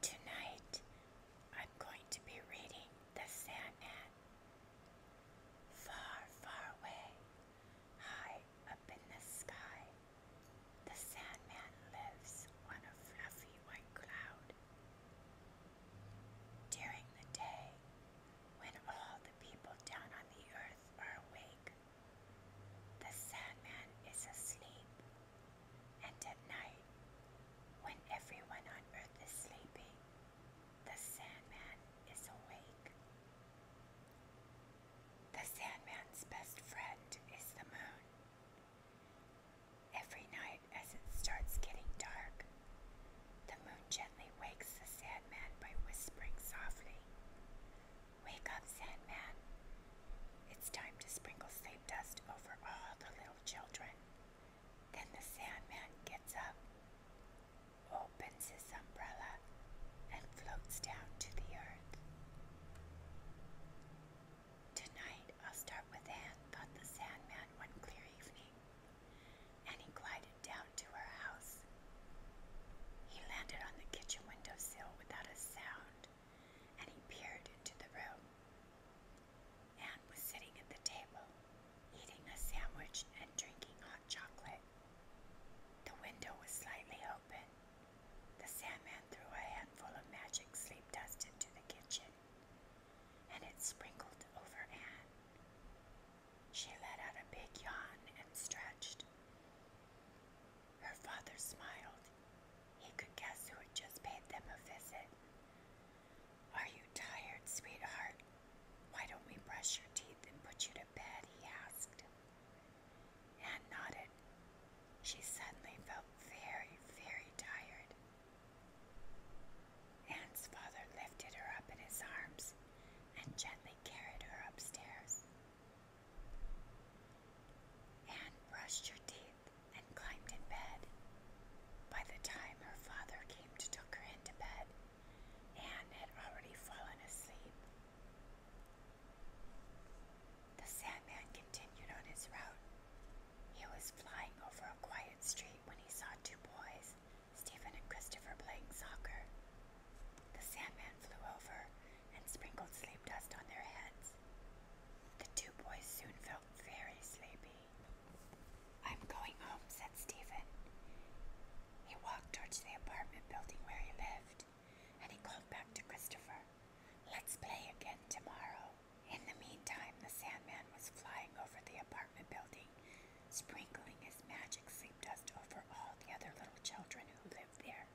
Tonight I'm going to be reading The Sandman. Far, far away, high up in the sky, the Sandman lives on a fluffy white cloud. During the day, when all the people down on the earth are awake, the Sandman is asleep, and at night, when everyone on earth is sleeping, the Sandman is awake. The Sandman's best friend is the moon. Every night, as it starts getting dark, the moon gently wakes the Sandman by whispering softly, Wake up, Sandman. It's time to sprinkle save dust over all the little children. Then the Sandman gets up, opens his umbrella, and floats down to the earth. Tonight I'll start with Anne, thought the Sandman one clear evening, and he glided down to her house. He landed on the kitchen windowsill without a sound, and he peered into the room. Anne was sitting at the table, eating a sandwich and drinking hot chocolate. The window was slightly open. The sandman threw a handful of magic sleep dust into the kitchen, and it sprinkled over Anne. She let out a big yawn and stretched. Her father smiled. He could guess who had just paid them a visit. Are you tired, sweetheart? Why don't we brush your teeth and put you to bed? he asked. Anne nodded. She suddenly felt very, very tired. Anne's father lifted her up in his arms and gently carried her upstairs. Anne brushed her teeth and climbed in bed. By the time her father came to take her into bed, Anne had already fallen asleep. The Sandman continued on his route. He was flying over a quiet street when he saw two boys Stephen and Christopher playing soccer. The Sandman flew over and sprinkled sleep dust on their heads. The two boys soon felt very sleepy. I'm going home, said Stephen. He walked towards the apartment building where he lived, and he called back to Christopher. Let's play again tomorrow. In the meantime, the Sandman was flying over the apartment building sprinkling his magic sleep dust over all the other little children who lived there.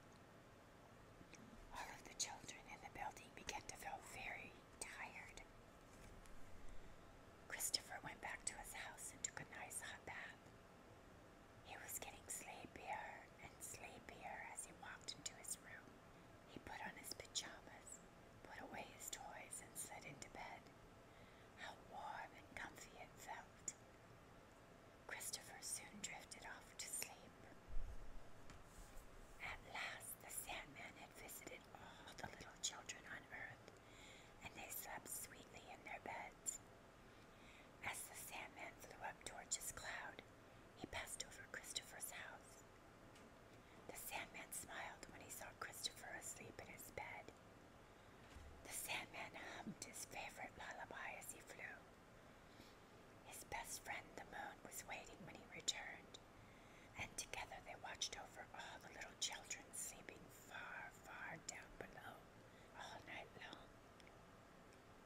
All of the children in the building began to feel very tired. Christopher went back to his house and took a nice hot bath. He was getting sleepier and sleepier as he walked into his room. He put on his pajamas put away his toys, and slid into bed. How warm and comfy it felt! Christopher soon drifted off to sleep. At last, the Sandman had visited all the little children on earth, and they slept sweetly in their beds. As the Sandman flew up towards his cloud, he passed over Christopher's house. The Sandman smiled when he saw Christopher asleep in his bed. The Sandman hummed his favorite lullaby as he flew. His best friend, the moon, was waiting when he returned, and together they watched over all the little children sleeping far, far down below all night long.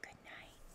Good night.